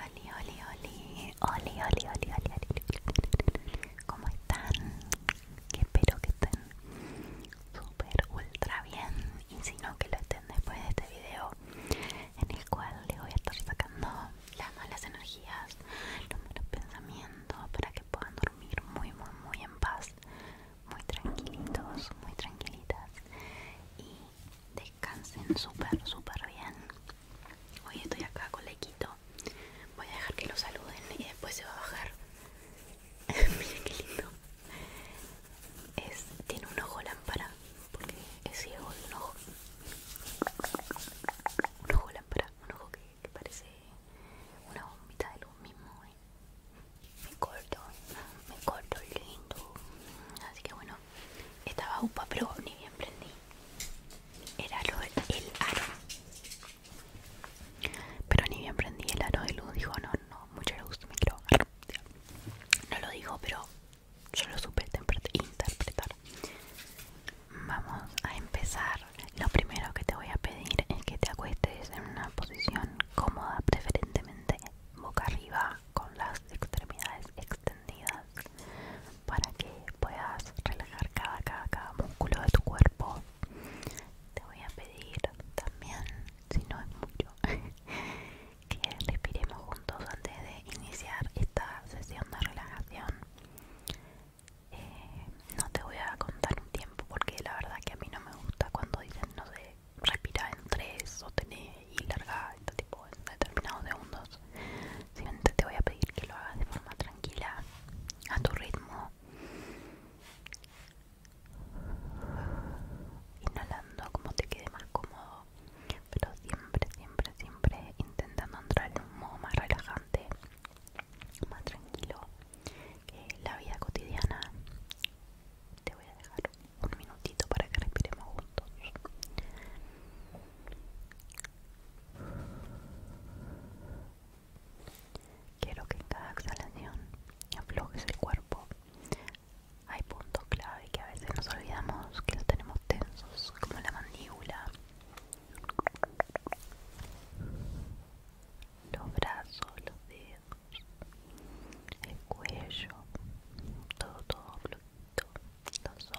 Oli, oli, oli, oli, oli, oli, ¿Cómo están? espero que estén súper ultra bien y si no que lo estén después de este video en el cual les voy a estar sacando las malas energías, los malos pensamientos para que puedan dormir muy muy muy en paz muy tranquilitos, muy tranquilitas y descansen súper, súper bien. Hoy estoy acá con Lequito. Voy a dejar que lo saluden y después se va a bajar. Miren qué lindo. Es, tiene un ojo lámpara porque es ciego un ojo. Un ojo lámpara, un ojo que, que parece una bombita de luz mismo, me corto, me corto lindo. Así que bueno, estaba upa, pero ni bien prendí. Era lo, el aro. Pero ni bien prendí el aro de luz. Dijo, no, no, mucho gusto, me quiero. No lo dijo, pero yo lo supe interpretar. Vamos a empezar. Lo primero que te voy a pedir es que te acuestes en una posición cómoda, preferentemente boca arriba con las extremidades extendidas para que puedas relajar cada, músculo de tu cuerpo. Te voy a pedir también, si no es mucho, que respiremos juntos antes de iniciar esta sesión de relajación. Eh, no te voy a contar un tiempo porque la verdad que a mí no me gusta cuando dicen, no sé, respira en o tener y larga tipo en determinados segundos. Simplemente te voy a pedir que lo hagas de forma tranquila, a tu ritmo. Inhalando como te quede más cómodo, pero siempre, siempre, siempre intentando entrar en un modo más relajante, más tranquilo la vida cotidiana te voy a dejar un minutito para que respiremos juntos quiero que en cada exhalación aflojes el cuerpo hay puntos clave que a veces nos olvidamos que los tenemos tensos como la mandíbula los brazos, los dedos el cuello, todo, todo los hombros.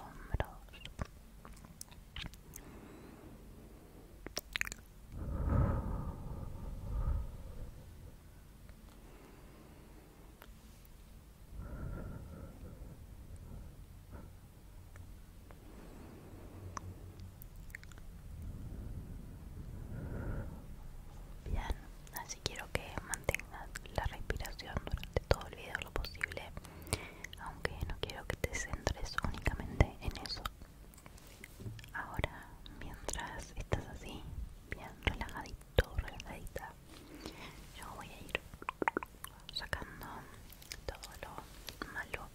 Bien, así quiero que mantengas la respiración durante todo el video lo posible, aunque no quiero que te centres únicamente en eso. Ahora, mientras estás así, bien relajadito, relajadita, yo voy a ir sacando todo lo malo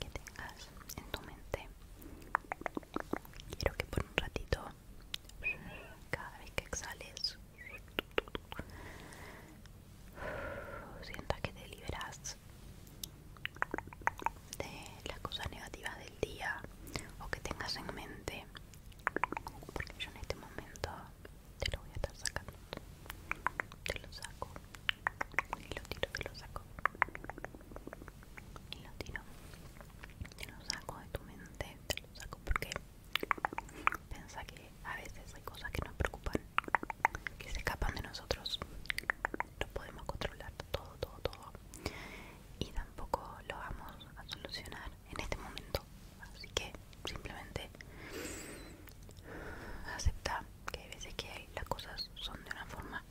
que tengas en tu mente. Quiero que por un ratito, cada vez que exhales, sientas que te liberas de las cosas negativas del día o que tengas en mente. Porque yo en este momento te lo voy a estar sacando. Te lo saco, y lo tiro, te lo saco y lo tiro, te lo saco de tu mente, te lo saco porque piensa que a veces hay cosas que nos preocupan, que se escapan de nosotros, no podemos controlar todo, todo, todo y tampoco lo vamos a solucionar en este momento, así que simplemente acepta que hay veces que las cosas son de una forma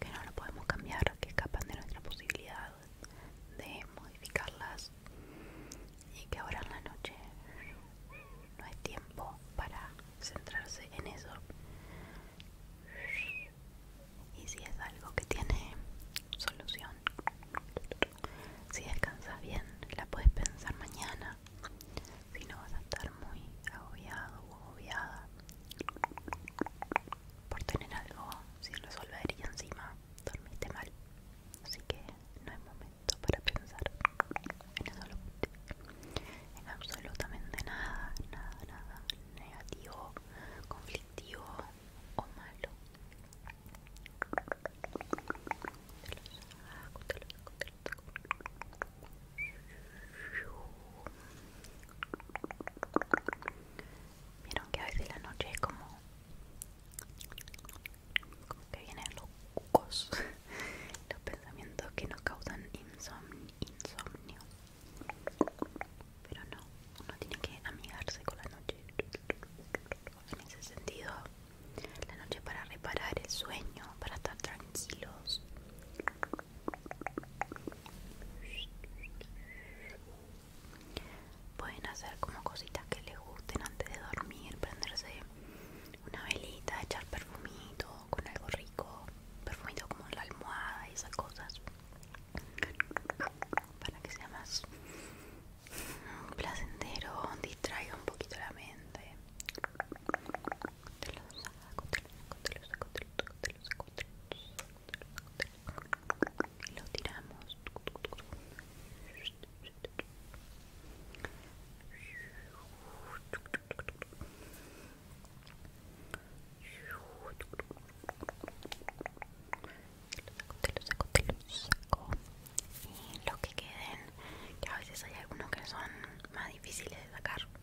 que no lo podemos cambiar, que escapan de nuestra posibilidad de modificarlas y que ahora en la noche no hay tiempo para centrarse en eso. Y si es algo que tiene solución, si descansas bien, la puedes pensar mañana si no vas a estar muy agobiado o agobiada por tener algo sin resolver y encima dormiste mal. Así que no hay momento para pensar en eso, en absolutamente nada, nada, nada negativo, conflictivo o malo. Vieron que a veces la noche es como, como que vienen los cucos, los pensamientos que nos causan insomnio, Pero no, uno tiene que amigarse con la noche. En ese sentido, la noche para reparar el sueño, para estar tranquilos. Pueden hacer como cositas que les gusten antes de dormir, prenderse una velita, echar perfumito con algo rico, perfumito como la almohada y esas cosas, para que sea más placentero, distraiga un poquito la mente. Te lo saco, te lo saco, te lo saco, te lo saco, te lo saco, te lo saco. Y lo tiramos. Te lo saco, te lo saco, te lo saco. Y los que queden, que a veces hay algunos que son más difíciles de sacar.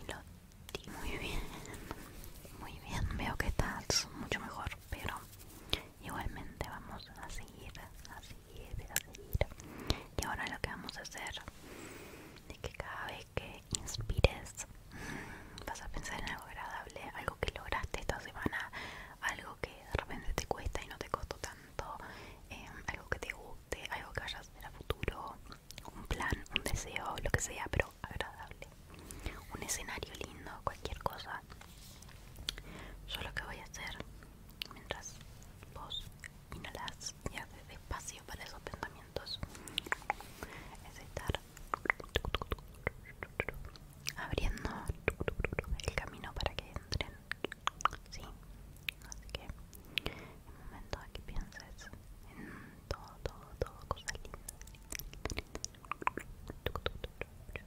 y lo muy bien muy bien veo que estás mucho mejor pero igualmente vamos a seguir a seguir a seguir y ahora lo que vamos a hacer es que cada vez que inspires mm, vas a pensar en algo agradable algo que lograste esta semana algo que de repente te cuesta y no te costó tanto, em, algo que te guste, algo que hayas a futuro, un plan, un deseo, lo que sea, pero agradable, un escenario lindo, cualquier cosa. Yo lo que voy a hacer mientras vos inhalas y haces despacio para esos pensamientos es estar abriendo el camino para que entren. así que un momento aquí que en todo, todo, todo, cosas lindas.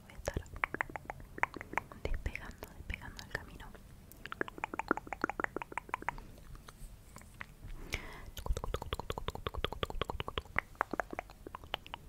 voy a estar despegando, despegando el camino.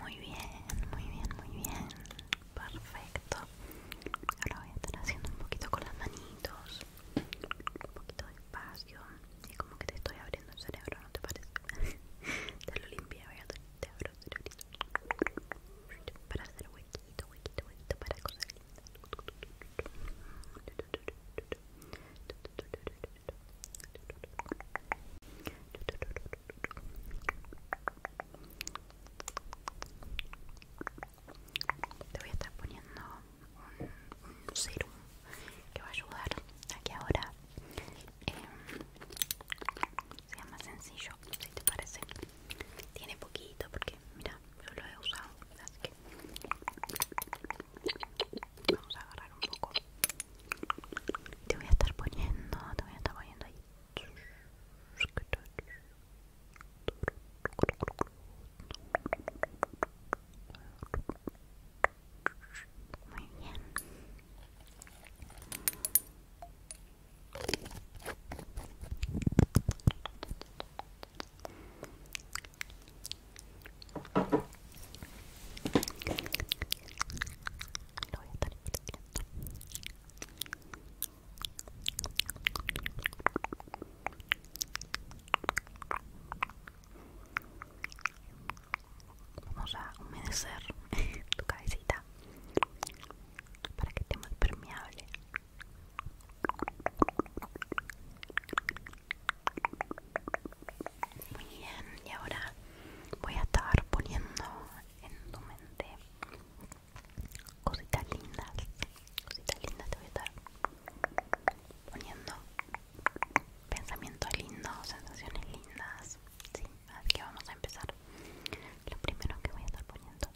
Muy bien, muy bien, muy bien. Perfecto. Ahora voy a estar haciendo un poquito con las manitos. Un poquito de espacio Es como que te estoy abriendo el cerebro, ¿no te parece? te lo limpia, voy a te abro el Para hacer huequito, huequito, huequito para cosas lindas. Te voy a estar poniendo un, serum que va a ayudar a que ahora em, sea más sencillo, si te parece. Tiene poquito porque, mira, yo lo he usado, así que... Vamos a agarrar un poco. Te voy a estar poniendo, te voy a estar poniendo ahí. Muy bien voy a estar Vamos a humedecer tu cabecita para que esté más permeable. Muy bien, y ahora voy a estar poniendo en tu mente cositas lindas. Cositas lindas te voy a estar poniendo pensamientos lindos, sensaciones lindas. así que vamos a empezar. Lo primero que voy a estar poniendo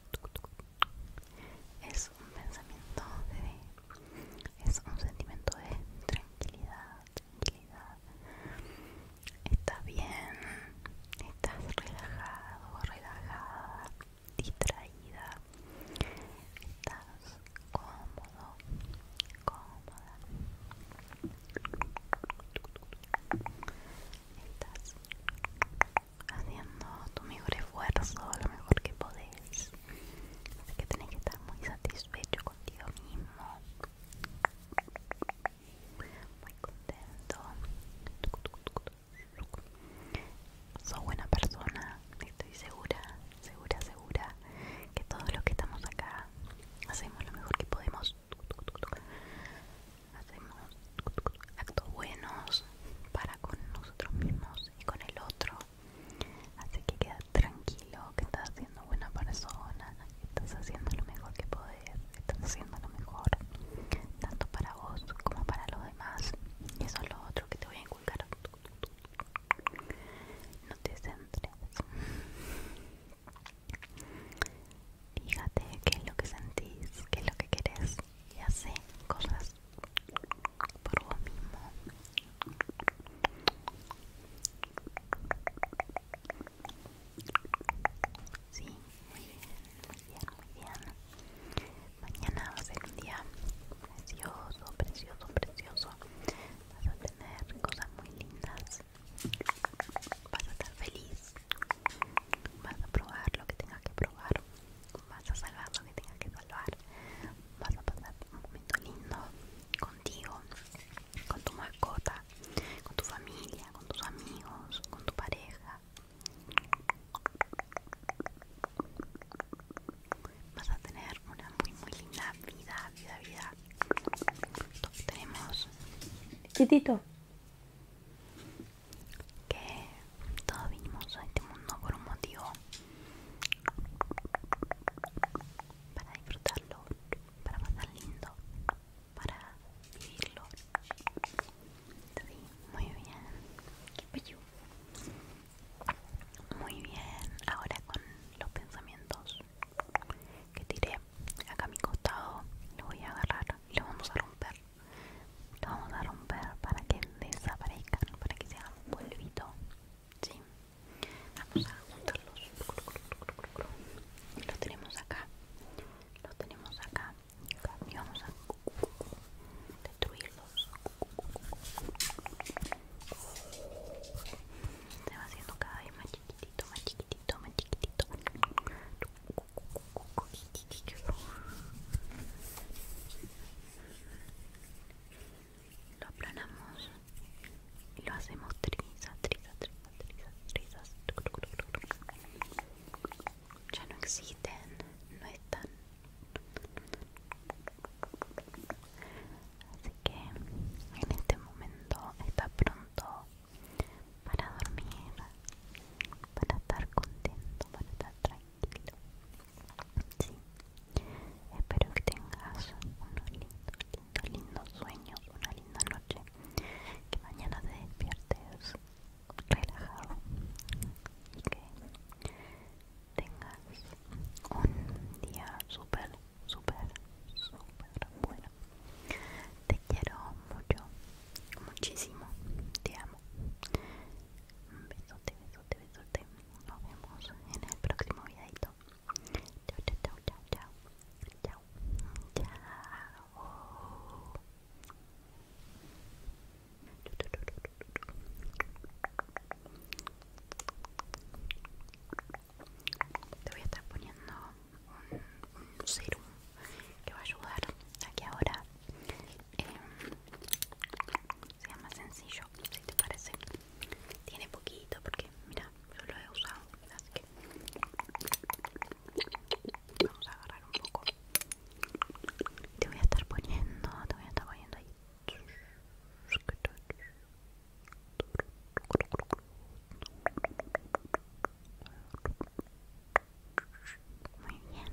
es un pensamiento de es un sentimiento de tranquilidad tranquilidad estás bien estás relajado relajada distraída estás cómodo cómoda estás haciendo tu mejor esfuerzo lo mejor que podés Así que tenés que estar muy satisfecho contigo mismo. Muy contento. Sos buena persona, estoy segura, segura, segura que todos los que estamos acá hacemos lo mejor que podemos. Hacemos actos buenos para con nosotros mismos y con el otro. Así que queda tranquilo que estás siendo buena persona, que estás haciendo lo mejor que puedes estás haciendo lo mejor, tanto para vos como para los demás. Y eso es lo otro que te voy a inculcar. No te centres. Fíjate qué es lo que sentís, qué es lo que querés y hace cosas por lo mismo sí muy bien muy bien muy bien mañana va a ser un día precioso precioso precioso vas a tener cosas muy lindas vas a estar feliz vas a probar lo que tengas que probar vas a salvar lo que tengas que salvar, vas a pasar un momento lindo contigo, con tu mascota, con tu familia, con tus amigos, con tu pareja. Vas a tener una muy muy linda vida, vida, vida. tenemos. Chiquitito. Que todos vinimos a este mundo por un motivo para disfrutarlo, para pasar lindo, para vivirlo. muy bien. Muy bien, ahora con los pensamientos que tiré acá a mi costado, lo voy a agarrar y lo vamos a romper. lo vamos a romper para que desaparezcan, para que se un polvito. ¿sí? Vamos a juntarlos. Los tenemos acá. Los tenemos acá. Y vamos a destruirlos. Se va haciendo cada vez más chiquitito, más chiquitito, más chiquitito lo aplanamos y lo hacemos trizas, trizas, trizas, trizas, Ya no existen, no están. Así que en este momento está pronto para dormir, para estar contento, para estar tranquilo. Sí. Espero que tengas unos lindos, lindos, lindos sueños, una linda noche. Que mañana te despiertes relajado y que tengas un día súper, súper, súper bueno. Te quiero mucho, muchísimo. Te amo. un Besote, besote, besote nos vemos en el próximo videito. Chao, chao, chao, chao, chao. Chao. Chao. Te voy a estar poniendo un, un serum que va a ayudar a que ahora eh, sea más sencillo si te parece tiene poquito porque mira yo lo he usado así que vamos a agarrar un poco te voy a estar poniendo te voy a estar poniendo ahí muy bien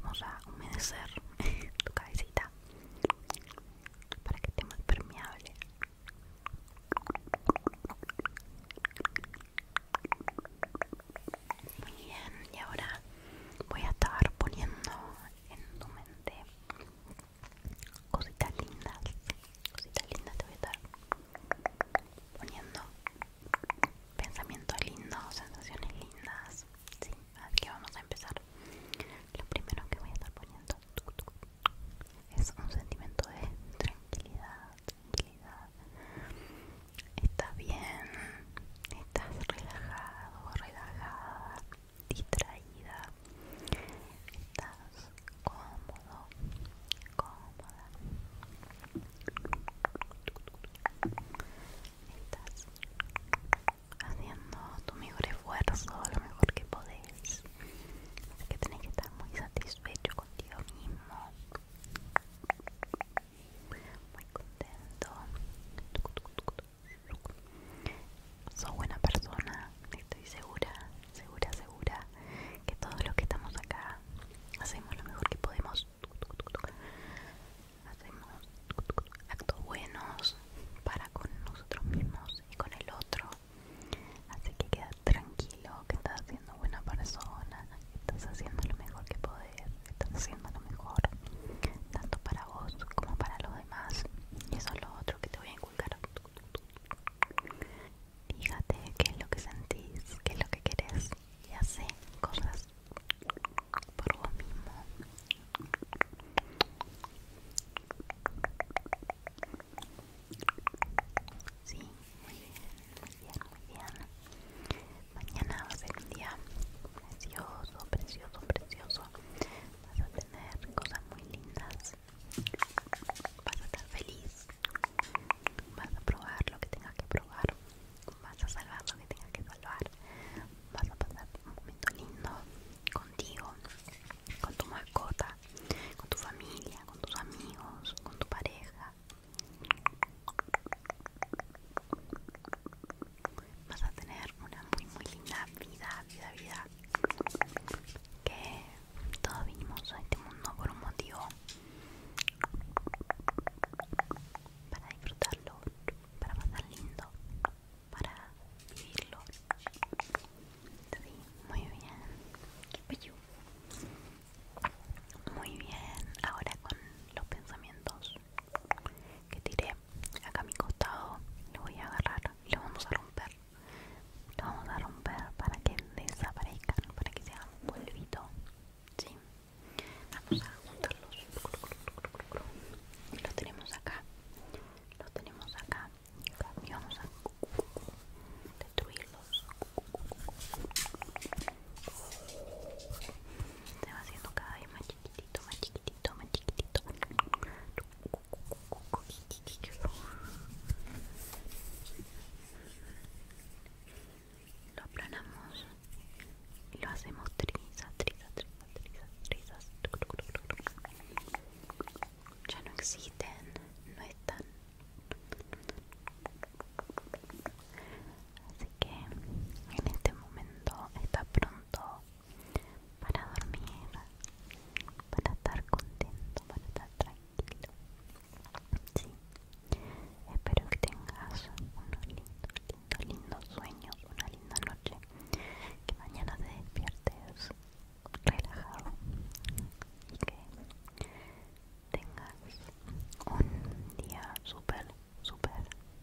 Vamos a humedecer tu cabecita para que esté más permeable muy bien, y ahora voy a estar poniendo en tu mente cositas lindas. Cositas lindas te voy a estar poniendo pensamientos lindos, sensaciones lindas. así que vamos a empezar. Lo primero que voy a estar poniendo es un sentimiento de tranquilidad, está bien, estás relajado, relajada, distraída, estás cómodo, cómoda. Estás haciendo tu mejor esfuerzo, lo mejor que podés. Así que tenés que estar muy satisfecho satisfecho contigo mismo muy contento sos buena persona estoy segura segura segura que todos los que estamos acá hacemos lo mejor que podemos hacemos actos buenos para con nosotros mismos y con el otro Así que queda tranquilo que estás siendo buena persona, estás haciendo lo mejor que podés, estás haciendo lo mejor, tanto para vos como para los demás. Y eso es lo otro que te voy a inculcar. Fíjate qué es lo que sentís, qué es lo que querés y hace cosas por vos mismo. Sí, muy bien, muy bien, muy bien. Mañana va a ser un día precioso, precioso, precioso. Vas a tener cosas muy lindas. Vas a estar feliz. Vas a probar lo que tengas que probar. Vas a salvar lo que tengas que salvar. Vas a pasar un momento lindo contigo, con tu mascota, con tu familia, con tus amigos, con tu pareja. Vas a tener una muy muy linda vida, vida, vida. Que todos vinimos a este mundo por un motivo. Para disfrutarlo, para pasar lindo, para vivirlo. Sí, muy bien. Muy bien. Ahora con los pensamientos que tiré acá a mi costado, lo voy a agarrar y lo vamos a romper. Lo vamos a romper para que desaparezcan, para que se hagan un polvito. Sí. Vamos a juntarlos. Los tenemos acá. Los tenemos acá vamos a destruirlos se va haciendo cada vez más chiquitito más chiquitito más chiquitito lo aplanamos y lo hacemos trizas. Ya no existen, no están, Así que en este momento está pronto para dormir, para estar contento, para estar tranquilo. Espero que tengas unos lindos sueños, una linda noche. Que mañana te despiertes relajado y que tengas un día súper, súper,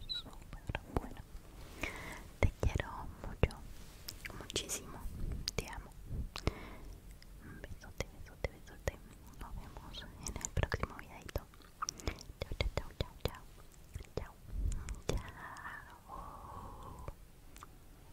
súper bueno. Te quiero mucho, muchísimo, te amo. Besote, besote, besote. Nos vemos en el próximo videito. chao, chao, chao, chao. Chao. Chao.